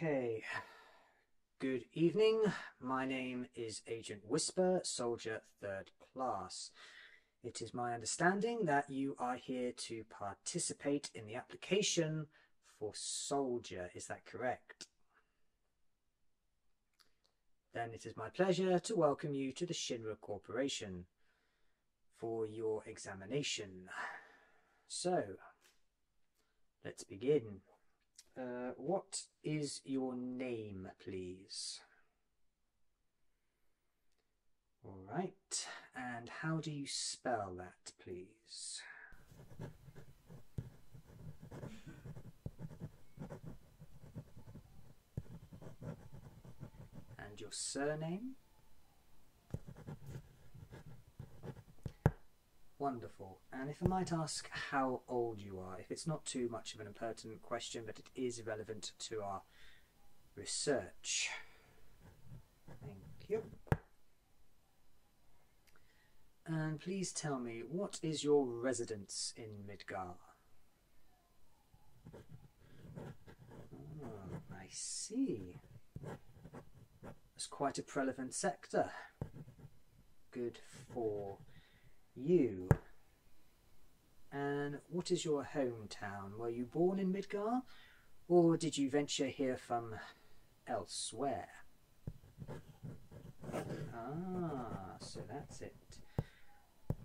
Okay, good evening. My name is Agent Whisper, Soldier third class. It is my understanding that you are here to participate in the application for soldier. Is that correct? Then it is my pleasure to welcome you to the Shinra Corporation for your examination. So, let's begin. Uh, what is your name, please? All right, and how do you spell that, please? And your surname? Wonderful. And if I might ask how old you are. If it's not too much of an impertinent question, but it is relevant to our research. Thank you. And please tell me, what is your residence in Midgar? Oh, I see. It's quite a prevalent sector. Good for you. And what is your hometown? Were you born in Midgar, or did you venture here from elsewhere? Ah, so that's it.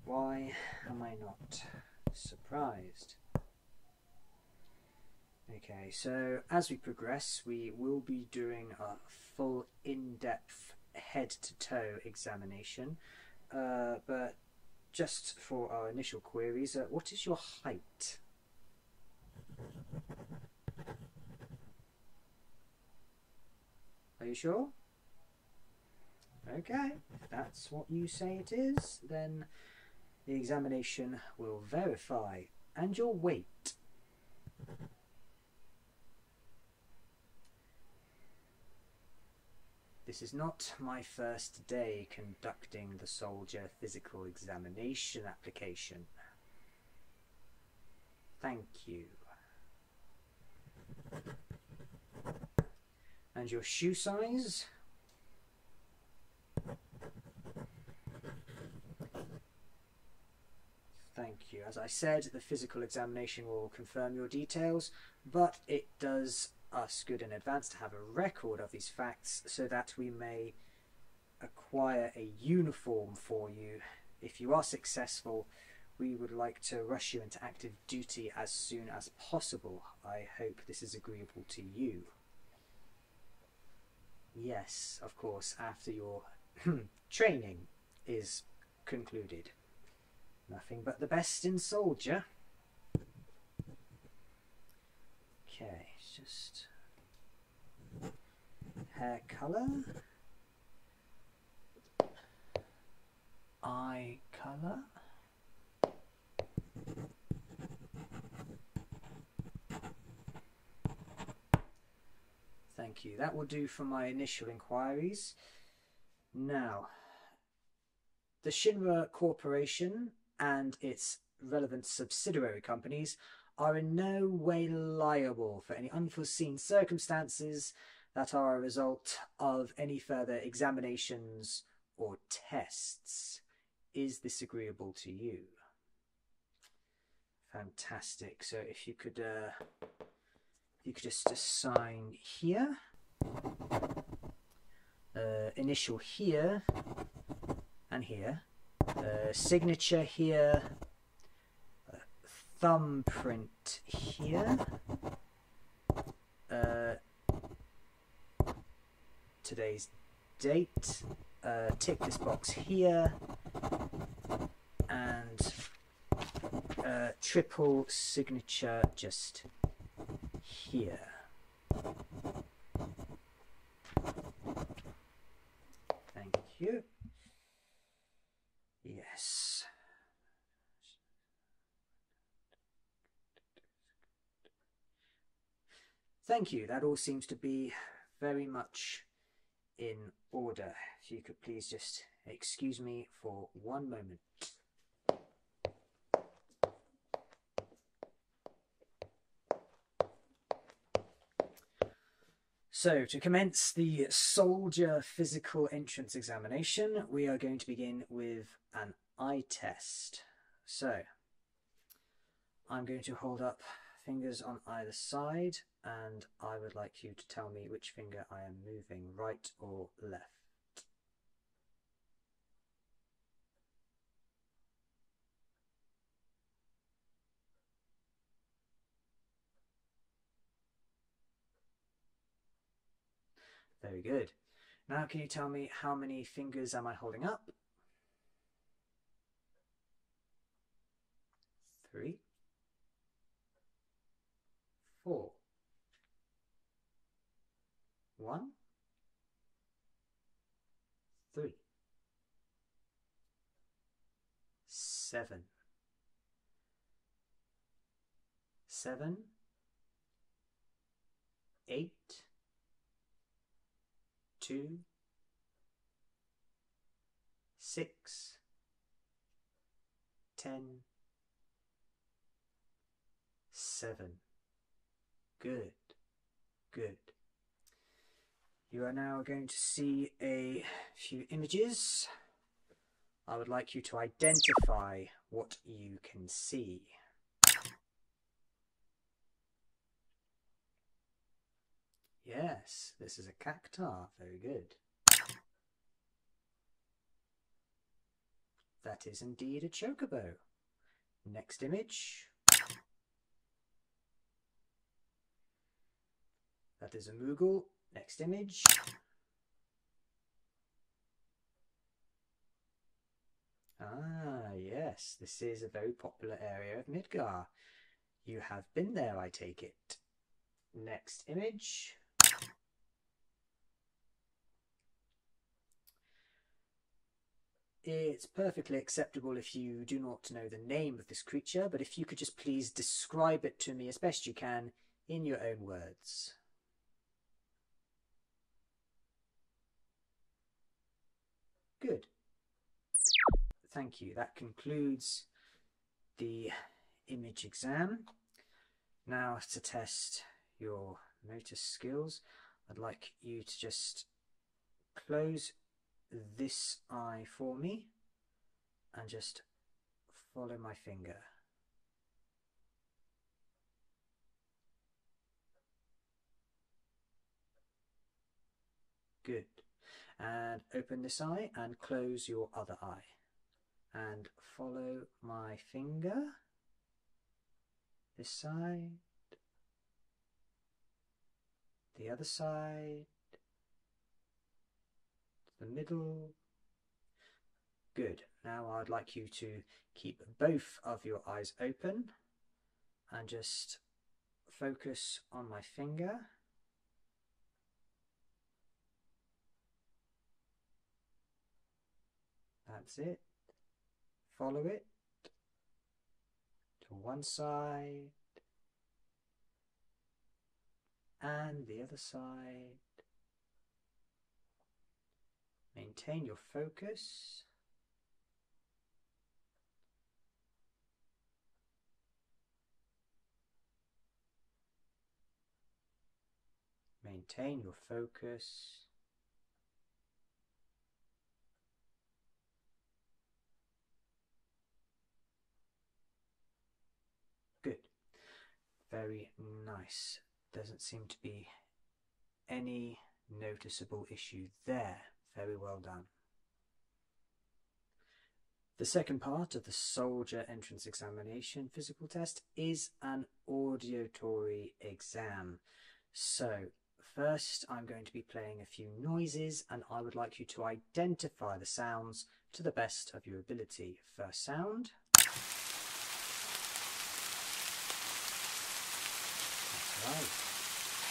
Why am I not surprised? Okay, so as we progress, we will be doing a full in-depth head-to-toe examination. Uh, but just for our initial queries, uh, what is your height? Are you sure? Okay, that's what you say it is, then the examination will verify. And your weight? This is not my first day conducting the soldier physical examination application. Thank you. And your shoe size? Thank you. As I said, the physical examination will confirm your details but it does us good in advance to have a record of these facts so that we may acquire a uniform for you. If you are successful, we would like to rush you into active duty as soon as possible. I hope this is agreeable to you. Yes, of course, after your training is concluded. Nothing but the best in soldier. Okay, just hair colour, eye colour. Thank you. That will do for my initial inquiries. Now, the Shinra Corporation and its relevant subsidiary companies are in no way liable for any unforeseen circumstances that are a result of any further examinations or tests. Is this agreeable to you? Fantastic. So if you could uh, you could just assign here, uh, initial here, and here, uh, signature here, uh, thumbprint here, today's date, tick this box here, and uh, triple signature just here. Thank you. Yes. Thank you. That all seems to be very much in order. If you could please just excuse me for one moment. So, to commence the soldier physical entrance examination, we are going to begin with an eye test. So, I'm going to hold up fingers on either side and I would like you to tell me which finger I am moving, right or left. Very good. Now can you tell me how many fingers am I holding up? Three. Four, one, three, seven, seven, eight, two, six, ten seven. Good, good. You are now going to see a few images. I would like you to identify what you can see. Yes, this is a cactar. Very good. That is indeed a chocobo. Next image. That is a Moogle. Next image. Ah, yes, this is a very popular area of Midgar. You have been there, I take it. Next image. It's perfectly acceptable if you do not know the name of this creature, but if you could just please describe it to me as best you can in your own words. Good. Thank you. That concludes the image exam. Now to test your motor skills, I'd like you to just close this eye for me and just follow my finger. Good. And open this eye and close your other eye and follow my finger this side, the other side, the middle. Good. Now I'd like you to keep both of your eyes open and just focus on my finger that's it. Follow it to one side and the other side. Maintain your focus. Maintain your focus. Good. Very nice. Doesn't seem to be any noticeable issue there. Very well done. The second part of the soldier entrance examination physical test is an auditory exam. So first I'm going to be playing a few noises and I would like you to identify the sounds to the best of your ability. First sound.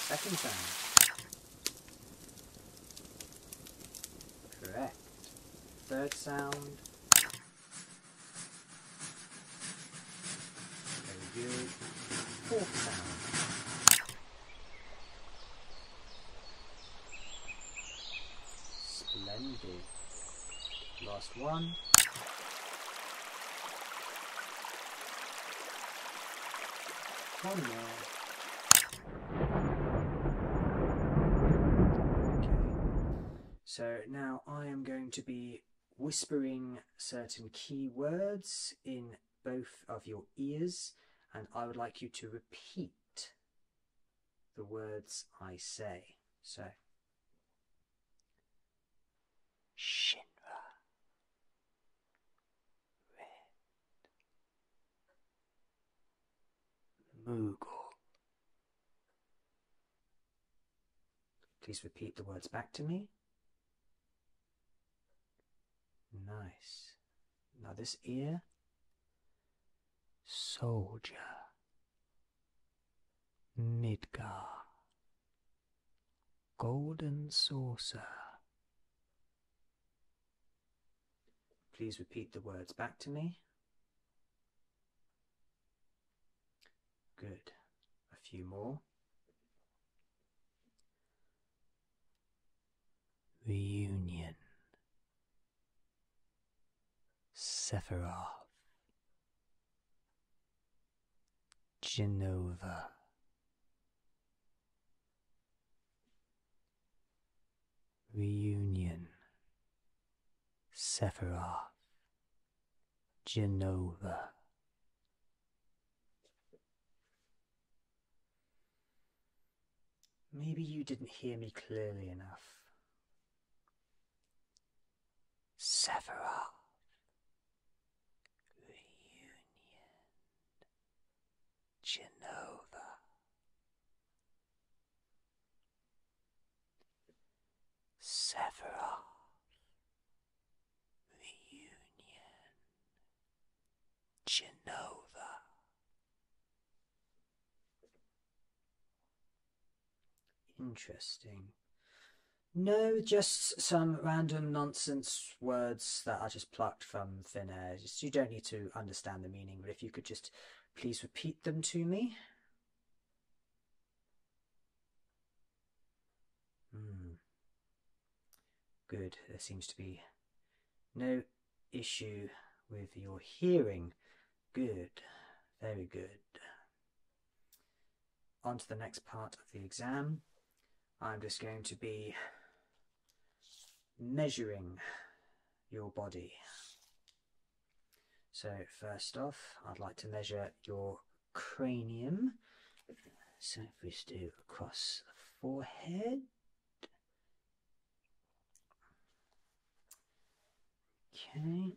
Second sound. Correct. Third sound. Very good. Fourth sound. Splendid. Last one. One more. So now I am going to be whispering certain key words in both of your ears and I would like you to repeat the words I say. So, Shinra, Mughal. Please repeat the words back to me. Nice. Now this ear. Soldier. Midgar. Golden saucer. Please repeat the words back to me. Good. A few more. Reunion. Union. Genova. Reunion, Sephiroth, Genova. Maybe you didn't hear me clearly enough. Sephiroth. Reunion. Genova. Several Reunion Genova Interesting. No, just some random nonsense words that I just plucked from thin air. you don't need to understand the meaning, but if you could just please repeat them to me. Hmm. Good. There seems to be no issue with your hearing. Good. Very good. On to the next part of the exam. I'm just going to be measuring your body so first off, I'd like to measure your cranium. So if we just do across the forehead. Okay.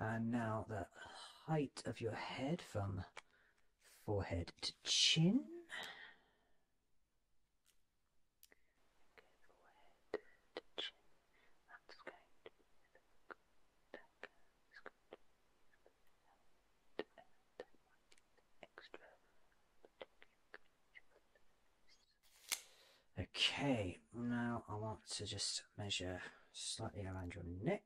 And now the height of your head from forehead to chin. Okay, now I want to just measure slightly around your neck.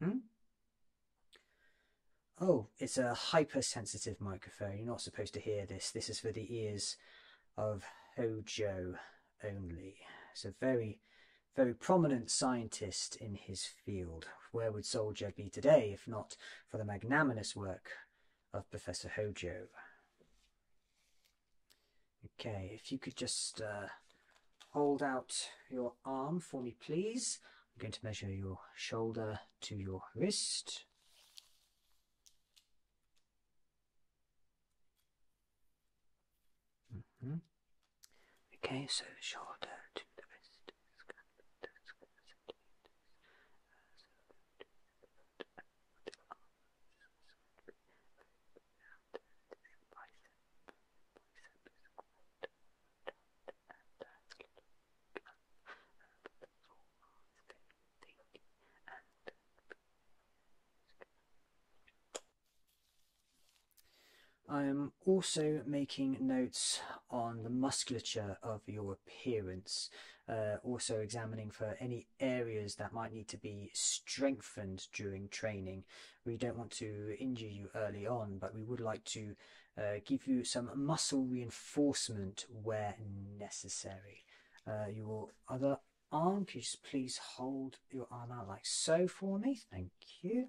Hmm? Oh, it's a hypersensitive microphone. You're not supposed to hear this. This is for the ears of Hojo only. It's a very, very prominent scientist in his field. Where would Soldier be today if not for the magnanimous work of Professor Hojo? Okay, if you could just uh, hold out your arm for me, please. I'm going to measure your shoulder to your wrist. Mm-hmm. Okay, so shoulder to the wrist. I am also making notes on the musculature of your appearance, uh, also examining for any areas that might need to be strengthened during training. We don't want to injure you early on, but we would like to uh, give you some muscle reinforcement where necessary. Uh, your other arm, can you please hold your arm out like so for me? Thank you.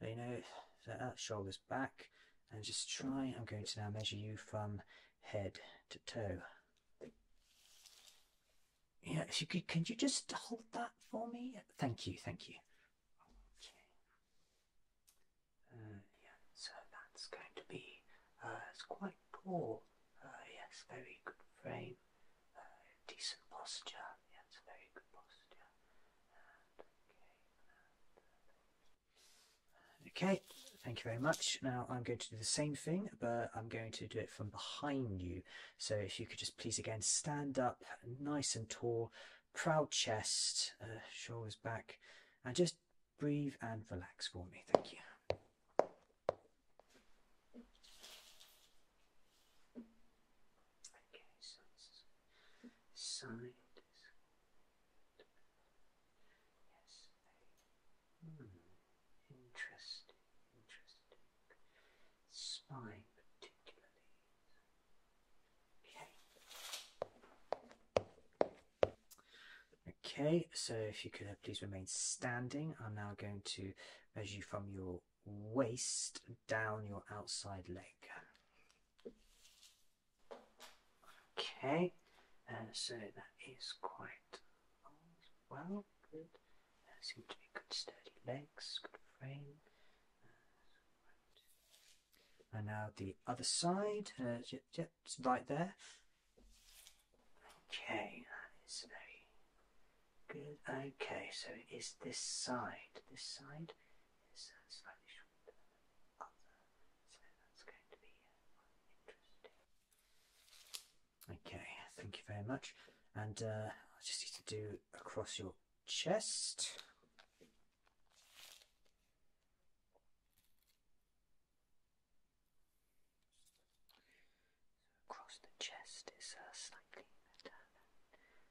you know, shoulders back, and just try, I'm going to now measure you from head to toe. Yeah, if you could, can you just hold that for me? Thank you, thank you. Okay. Uh, yeah, so that's going to be, uh, it's quite tall. Uh, yes, very good frame. Uh, decent posture. Yeah, it's a very good posture. Uh, uh, okay, thank you very much. Now I'm going to do the same thing, but I'm going to do it from behind you. So if you could just please again stand up nice and tall, proud chest, shoulders back, and just breathe and relax for me. Thank you. Okay, so this is side yes. interesting, interesting spine particularly. Okay. Okay, so if you could uh, please remain standing, I'm now going to measure from your waist down your outside leg. Okay, uh, so that is quite well. Good. Uh, to be good sturdy legs, good frame. Uh, and now the other side, uh, j right there. Okay, that is very Good. Okay, so it is this side. This side is uh, slightly shorter uh, Okay, thank you very much. And uh, I just need to do across your chest. across the chest is uh, slightly better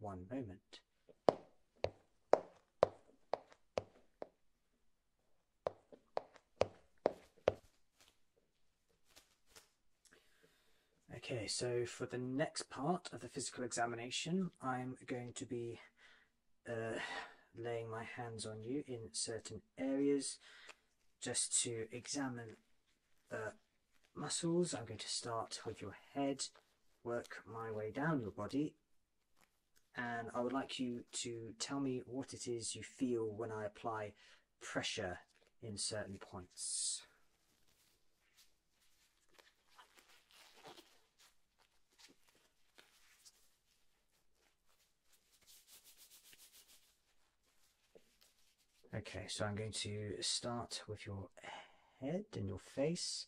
one moment. Okay, so for the next part of the physical examination, I'm going to be uh, laying my hands on you in certain areas just to examine the uh, muscles. I'm going to start with your head work my way down your body and I would like you to tell me what it is you feel when I apply pressure in certain points. Okay, so I'm going to start with your head and your face.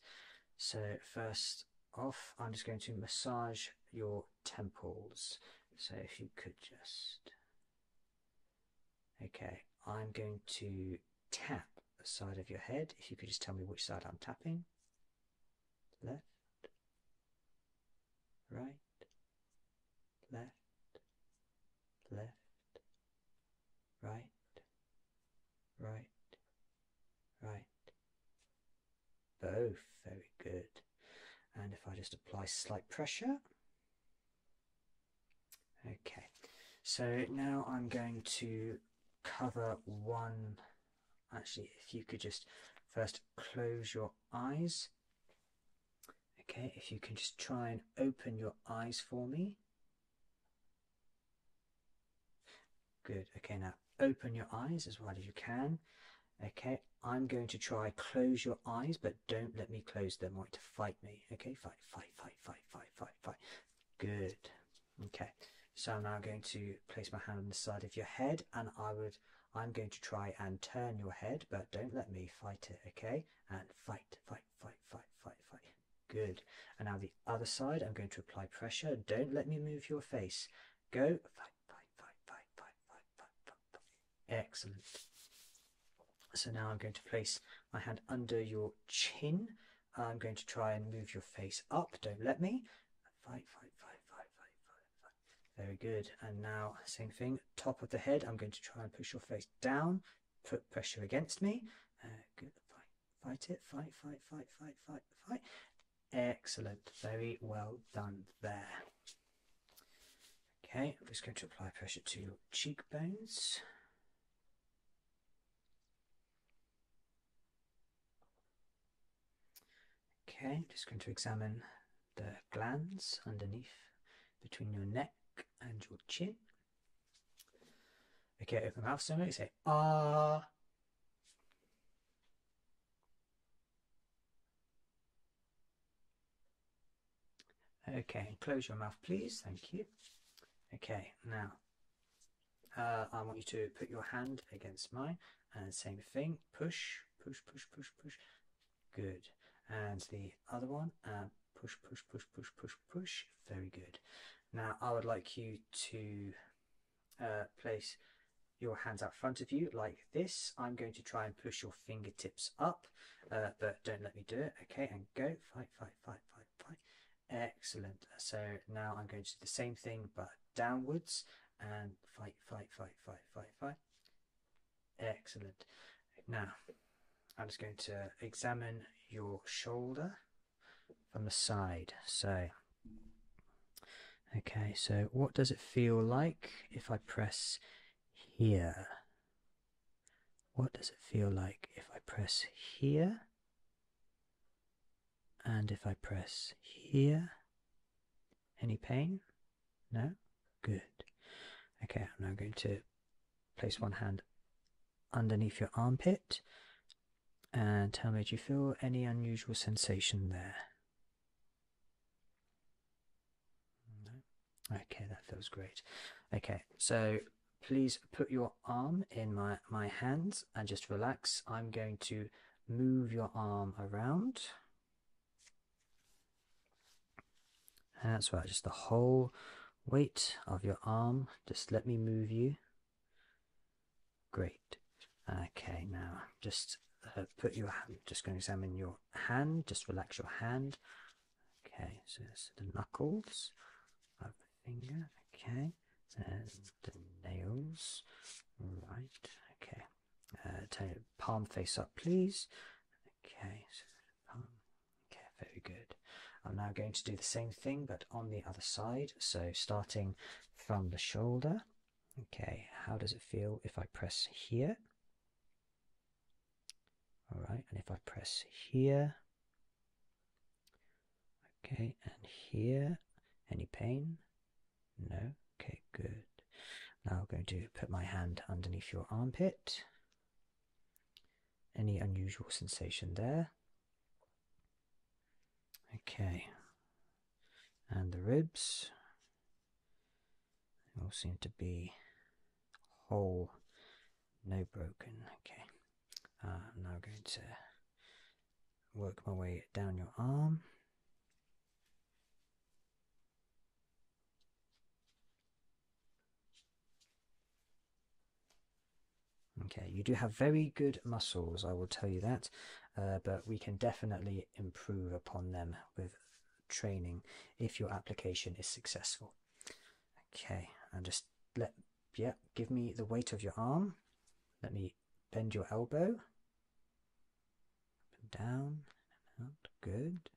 So first off, I'm just going to massage your temples. So if you could just... Okay, I'm going to tap the side of your head. If you could just tell me which side I'm tapping. Left. Right. Left. Left right, right, right. Both, very good. And if I just apply slight pressure. Okay, so now I'm going to cover one. Actually, if you could just first close your eyes. Okay, if you can just try and open your eyes for me. Good. Okay, now open your eyes as wide as you can. Okay, I'm going to try close your eyes, but don't let me close them. I want to fight me. Okay, fight, fight, fight, fight, fight, fight, fight. Good. Okay, so I'm now going to place my hand on the side of your head, and I would, I'm going to try and turn your head, but don't let me fight it. Okay, and fight, fight, fight, fight, fight, fight. Good. And now the other side, I'm going to apply pressure. Don't let me move your face. Go. Fight, fight, fight, fight, fight, fight, fight, fight, Excellent. So now I'm going to place my hand under your chin. I'm going to try and move your face up. Don't let me. Fight, fight, fight, fight, fight, fight, fight. Very good. And now, same thing, top of the head. I'm going to try and push your face down. Put pressure against me. good. Fight it, fight, fight, fight, fight, fight, fight. Excellent, very well done there. Okay, I'm just going to apply pressure to your cheekbones. Okay, I'm just going to examine the glands underneath between your neck and your chin. Okay, open out of the mouth soon, they say, ah. Okay, close your mouth, please. Thank you. Okay, now uh, I want you to put your hand against mine and same thing. Push, push, push, push, push. Good. And the other one, uh, push, push, push, push, push, push. Very good. Now I would like you to uh, place your hands out front of you like this. I'm going to try and push your fingertips up, uh, but don't let me do it. Okay, and go. Fight, fight, fight, fight, fight. Excellent. So now I'm going to do the same thing, but downwards and fight, fight, fight, fight, fight, fight. Excellent. Now I'm just going to examine your shoulder from the side. So, okay, so what does it feel like if I press here? What does it feel like if I press here? And if I press here, any pain? No? Good. Okay, I'm now going to place one hand underneath your armpit and how made you feel? Any unusual sensation there? Okay, that feels great. Okay, so please put your arm in my, my hands and just relax. I'm going to move your arm around. And that's right, just the whole weight of your arm. Just let me move you Great. Okay, now just uh, put your hand, just going to examine your hand, just relax your hand. Okay, so the knuckles of the finger, okay, There's the nails, right, okay. Uh, turn your palm face up, please. Okay, so palm, okay, very good. I'm now going to do the same thing but on the other side. So starting from the shoulder. Okay, how does it feel if I press here? All right, and if I press here, okay, and here, any pain? No? Okay, good. Now I'm going to put my hand underneath your armpit. Any unusual sensation there? Okay. And the ribs all seem to be whole, no broken. Okay. Uh, I'm now going to work my way down your arm. Okay, you do have very good muscles, I will tell you that, uh, but we can definitely improve upon them with training if your application is successful. Okay, and just let, yeah, give me the weight of your arm. Let me bend your elbow. Up and down, good.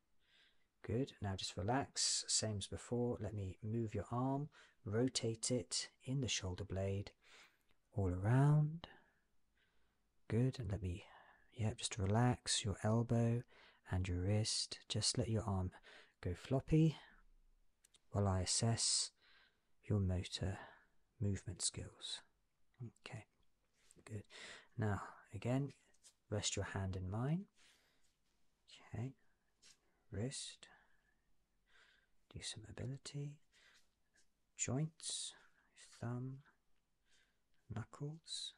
Good, now just relax, same as before. Let me move your arm, rotate it, in the shoulder blade, all around. Good, and let me, yeah, just relax your elbow and your wrist. Just let your arm go floppy while I assess your motor movement skills. Okay, good. Now, again, rest your hand in mine. Okay, wrist, do some mobility, joints, thumb, knuckles,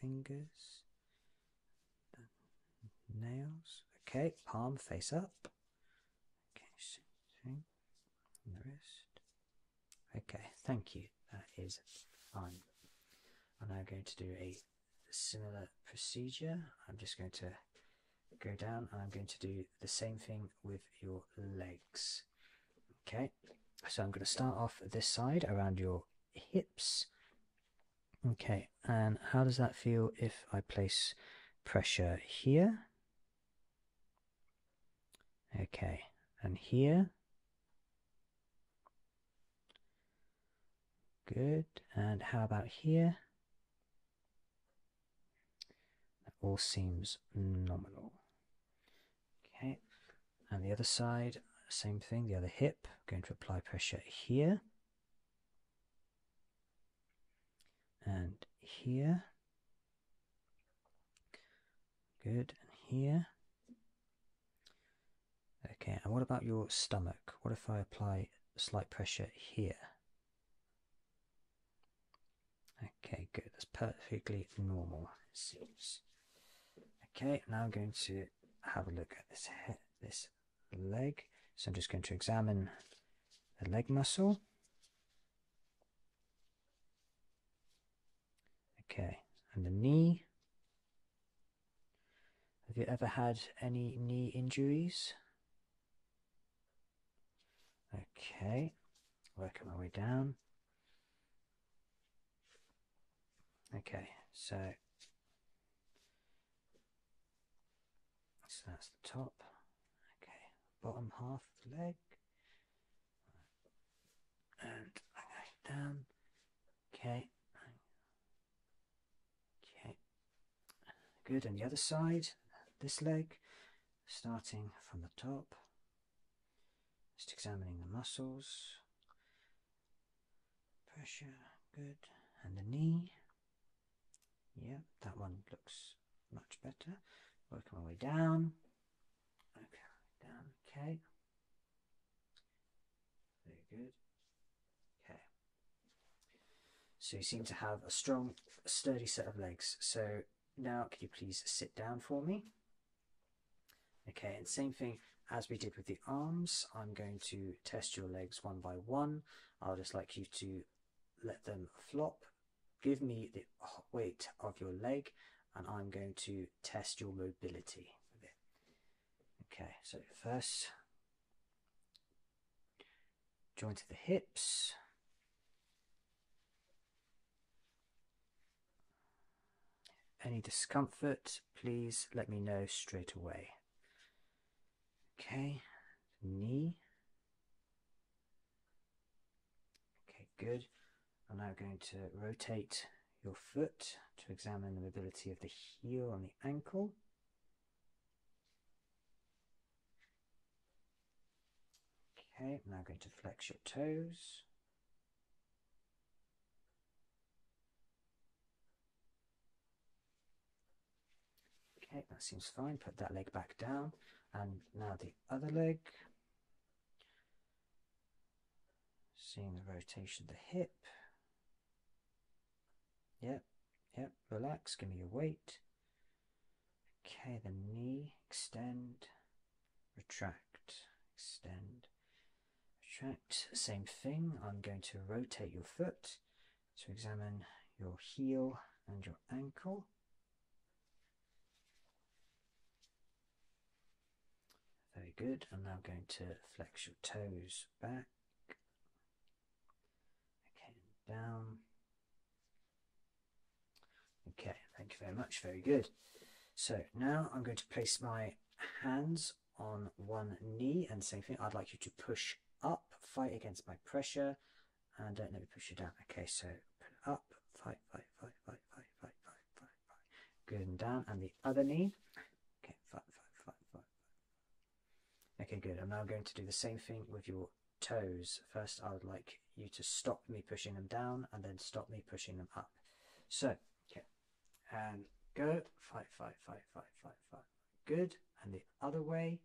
fingers, nails. Okay, palm face up. Okay, the wrist. Okay, thank you. That is fine. I'm now going to do a similar procedure. I'm just going to go down I'm going to do the same thing with your legs. Okay, so I'm going to start off this side around your hips. Okay, and how does that feel if I place pressure here? Okay, and here. Good, and how about here? That all seems nominal. Okay, and the other side, same thing, the other hip, going to apply pressure here and here. Good, and here. Okay, and what about your stomach? What if I apply slight pressure here? Okay, good. That's perfectly normal, it seems. Okay, now I'm going to have a look at this this leg. So I'm just going to examine the leg muscle. Okay, and the knee. Have you ever had any knee injuries? Okay, working my way down. Okay, so, so that's the top. Okay, bottom half of the leg. And I go down. Okay, Okay, good. And the other side, this leg, starting from the top, just examining the muscles, pressure, good. And the knee, yeah, that one looks much better. Working my way down, okay, down, okay. Very good. Okay. So you seem to have a strong, sturdy set of legs. So now could you please sit down for me? Okay, and same thing as we did with the arms. I'm going to test your legs one by one. I'll just like you to let them flop. Give me the weight of your leg and I'm going to test your mobility with it. Okay, so first joint of the hips. Any discomfort, please let me know straight away. Okay, knee. Okay, good. I'm now going to rotate your foot to examine the mobility of the heel and the ankle. Okay, I'm now going to flex your toes. Okay, that seems fine. Put that leg back down. And now the other leg. Seeing the rotation of the hip. Yep, yep, relax, give me your weight. Okay, the knee, extend, retract, extend, retract. Same thing, I'm going to rotate your foot to examine your heel and your ankle. Very good. I'm now going to flex your toes back Okay, down. Okay, thank you very much. Very good. So now I'm going to place my hands on one knee and same thing. I'd like you to push up, fight against my pressure, and don't let me push you down. Okay, so up, fight, fight, fight, fight, fight, fight, fight, fight, fight. Good and down, and the other knee. Okay, fight, fight, fight, fight, fight, Okay, good. I'm now going to do the same thing with your toes. First, I would like you to stop me pushing them down and then stop me pushing them up. So, okay, and go, fight, fight, fight, fight, Good, and the other way,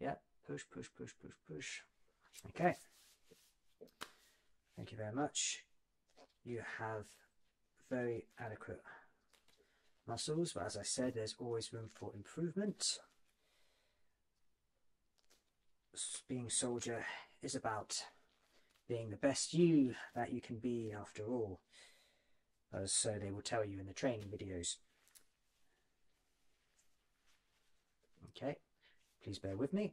Yep. push, push, push, push, push. Okay, thank you very much. You have very adequate muscles, but as I said, there's always room for improvement being soldier is about being the best you that you can be after all, as so uh, they will tell you in the training videos. Okay, please bear with me.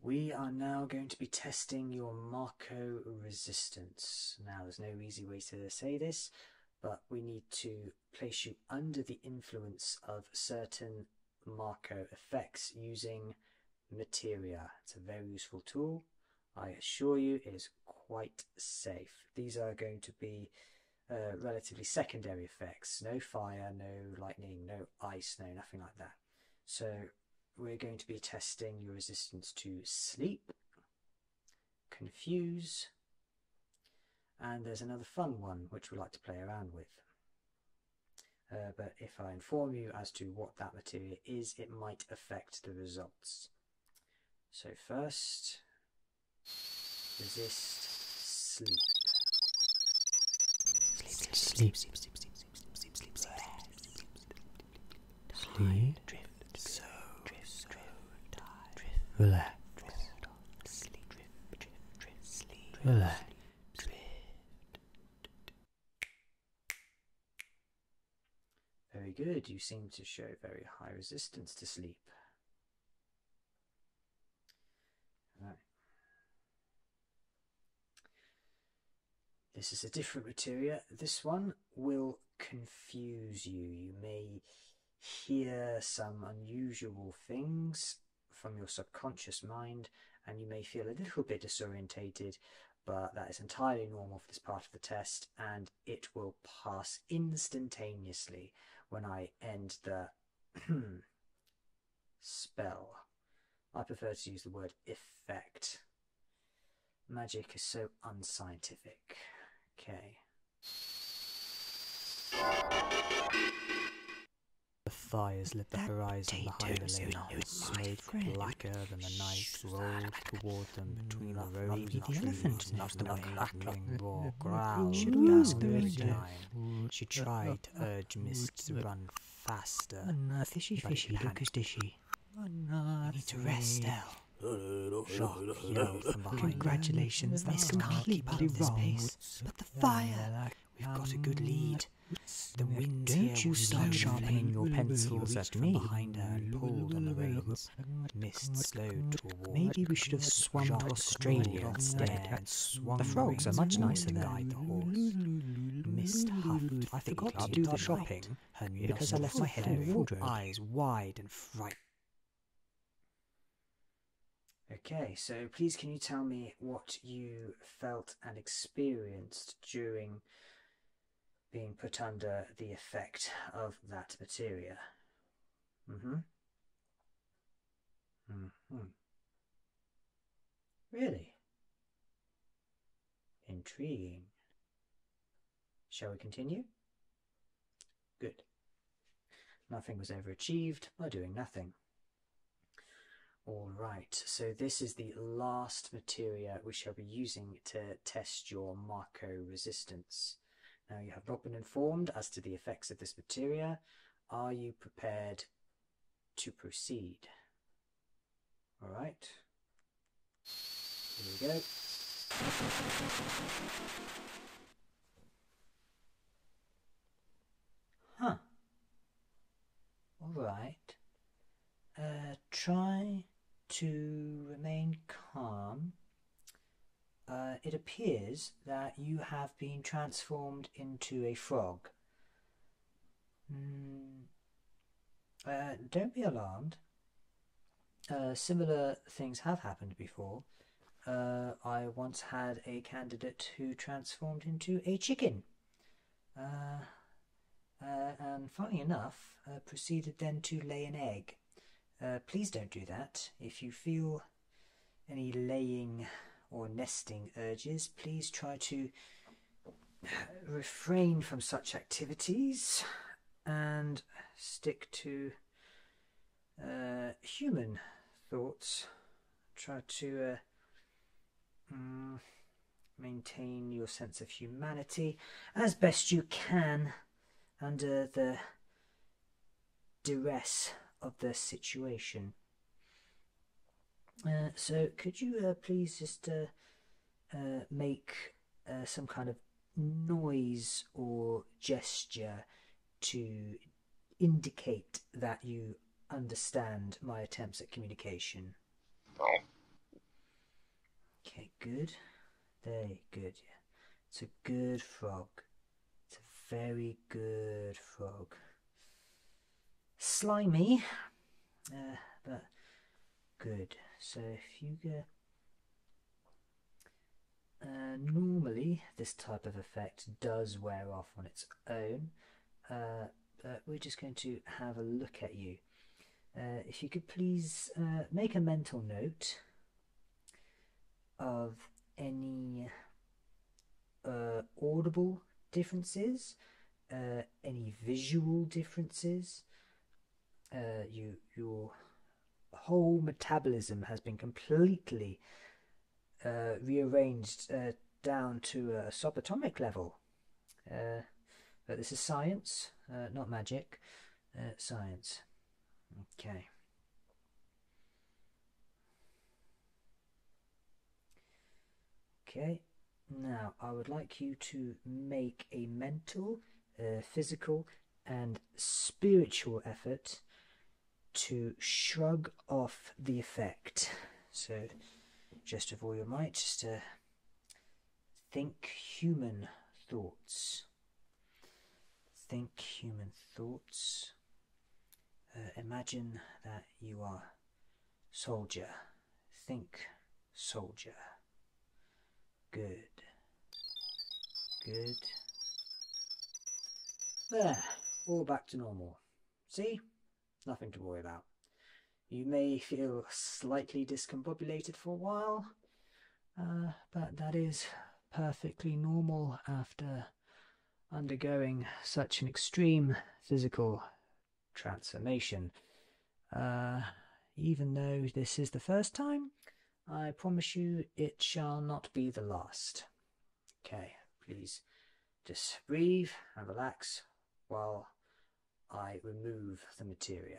We are now going to be testing your Marco resistance. Now there's no easy way to say this, but we need to place you under the influence of certain Marco effects using Materia. It's a very useful tool. I assure you it is quite safe. These are going to be uh, relatively secondary effects. No fire, no lightning, no ice, no nothing like that. So we're going to be testing your resistance to sleep, confuse, and there's another fun one which we like to play around with. Uh, but if I inform you as to what that material is, it might affect the results. So first, resist sleep. Sleep, sleep, sleep, sleep, sleep, sleep, sleep, sleep, sleep, sleep, sleep, drift, so, drift, so, drift, drift, relax, Sleep, drip, drip, sleep, Relax. very good. You seem to show very high resistance to sleep. This is a different material. This one will confuse you. You may hear some unusual things from your subconscious mind, and you may feel a little bit disorientated, but that is entirely normal for this part of the test, and it will pass instantaneously when I end the spell. I prefer to use the word effect. Magic is so unscientific. Okay. The fires lit the horizon behind the lake, smoke blacker than the night rolled toward them between the rows of trees, not the crackling roar growl of gas time. She uh, uh, tried to uh, urge Mist to run faster, fishy fishy lucas dishy. You need to rest, Elle. Congratulations, they from behind Congratulations, that's completely wrong but the fire. We've got a good lead. The wind here will start sharpening your pencils at me. Maybe we should have swum to Australia instead. The frogs are much nicer there. Guide I forgot to do the shopping because I left my head in the wardrobe. Eyes wide and fright. Okay, so please can you tell me what you felt and experienced during being put under the effect of that materia? Mm-hmm. Mm-hmm. Really? Intriguing. Shall we continue? Good. Nothing was ever achieved by doing nothing. All right, so this is the last material we shall be using to test your Marco resistance. Now you have not been informed as to the effects of this material. Are you prepared to proceed? All right, here we go. Huh. All right. Uh, try to remain calm. Uh, it appears that you have been transformed into a frog. Hmm. Uh, don't be alarmed. similar things have happened before. Uh, I once had a candidate who transformed into a chicken. Uh, uh, and funny enough, proceeded then to lay an egg. please don't do that. If you feel any laying or nesting urges, please try to refrain from such activities and stick to uh, human thoughts. Try to uh, mm, maintain your sense of humanity as best you can under the duress of the situation. Uh, so, could you please just make some kind of noise or gesture to indicate that you understand my attempts at communication. Okay, good. Very good. Yeah. It's a good frog. It's a very good frog. Slimy, uh, but good. So if you go uh, normally, this type of effect does wear off on its own, uh, but we're just going to have a look at you. Uh, if you could please make a mental note of any audible differences, any visual differences. your whole metabolism has been completely uh, rearranged uh, down to a subatomic level. Uh, but this is science, not magic, science. Okay. Okay, now I would like you to make a mental, physical, and spiritual effort to shrug off the effect. So just of all your might, just to think human thoughts. Think human thoughts. Uh, imagine that you are soldier. Think soldier. Good. Good. There, all back to normal. See? Nothing to worry about. You may feel slightly discombobulated for a while, uh, but that is perfectly normal after undergoing such an extreme physical transformation. Uh, even though this is the first time, I promise you it shall not be the last. Okay, please just breathe and relax while I remove the material.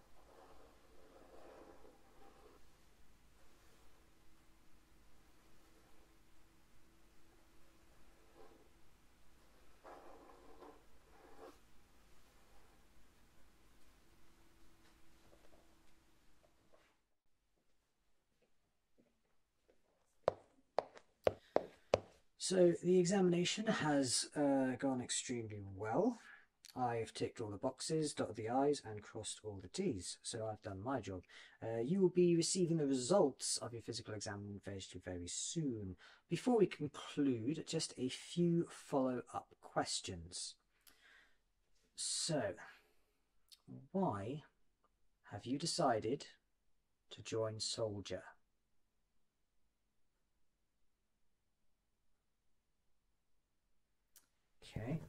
So the examination has uh, gone extremely well. I've ticked all the boxes, dotted the I's, and crossed all the T's, so I've done my job. Uh, you will be receiving the results of your physical exam very soon. Before we conclude, just a few follow-up questions. So, why have you decided to join Soldier? Okay.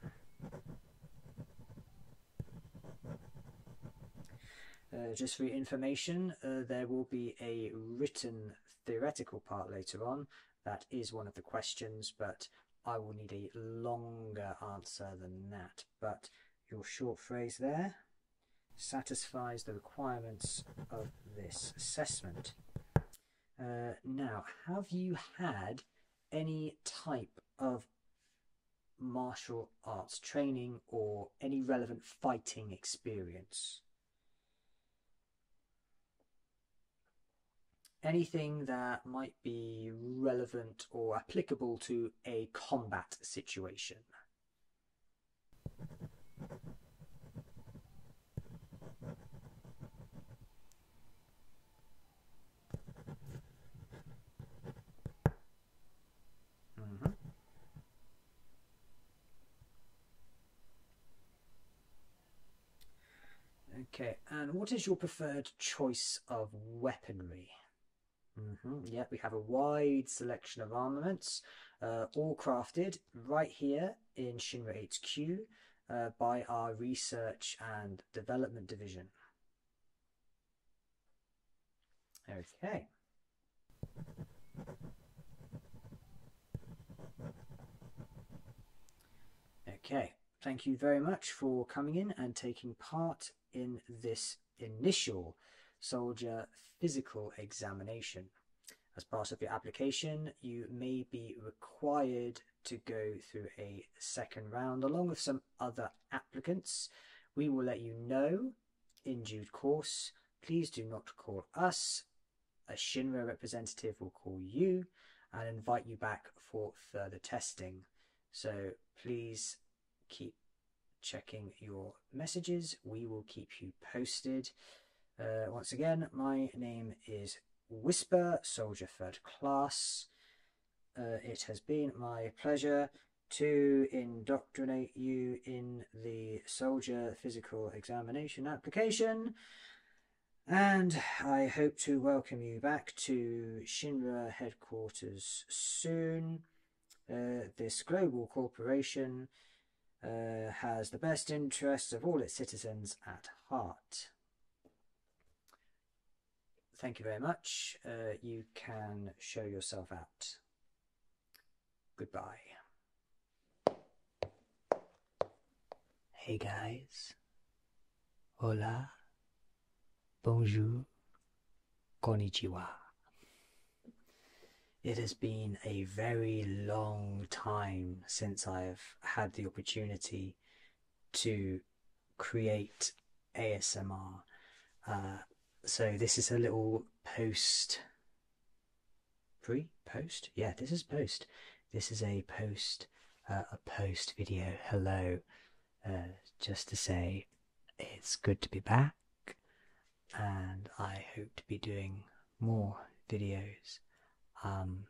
Uh, just for your information, uh, there will be a written theoretical part later on. That is one of the questions, but I will need a longer answer than that. But your short phrase there satisfies the requirements of this assessment. Uh, now, have you had any type of martial arts training or any relevant fighting experience. Anything that might be relevant or applicable to a combat situation. Mm-hmm. Okay, and what is your preferred choice of weaponry? Mm -hmm. Yeah, we have a wide selection of armaments, uh, all crafted right here in Shinra HQ. Uh, by our research and development division. Okay. Okay, thank you very much for coming in and taking part in this initial soldier physical examination. As part of your application, you may be required to go through a second round along with some other applicants. We will let you know in due course. Please do not call us. A Shinra representative will call you and invite you back for further testing. So please keep checking your messages. We will keep you posted. Uh, once again, my name is Whisper, Soldier Third Class. Uh, it has been my pleasure to indoctrinate you in the soldier physical examination application. And I hope to welcome you back to Shinra headquarters soon. Uh, this global corporation uh, has the best interests of all its citizens at heart. Thank you very much. Uh, you can show yourself out. Goodbye. Hey guys. Hola. Bonjour. Konnichiwa. It has been a very long time since I've had the opportunity to create ASMR. Uh, so this is a little post pre post. Yeah, this is post. This is a post uh, a post video. Hello, uh, just to say it's good to be back, and I hope to be doing more videos. Um,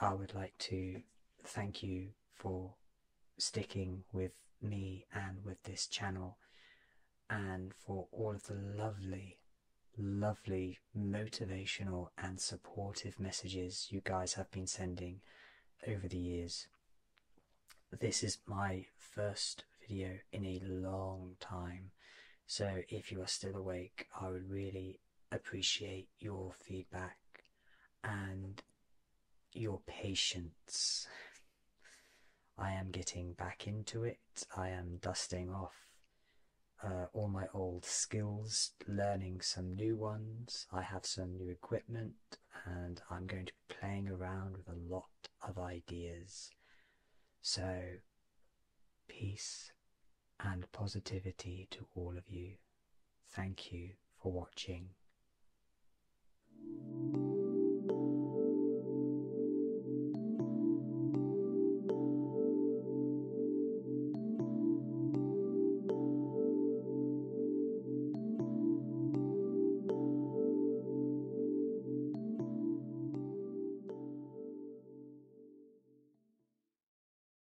I would like to thank you for sticking with me and with this channel and for all of the lovely, lovely motivational and supportive messages you guys have been sending over the years. This is my first video in a long time, so if you are still awake, I would really appreciate your feedback and your patience. I am getting back into it. I am dusting off uh, all my old skills, learning some new ones. I have some new equipment, and I'm going to be playing around with a lot of ideas. So, peace and positivity to all of you. Thank you for watching.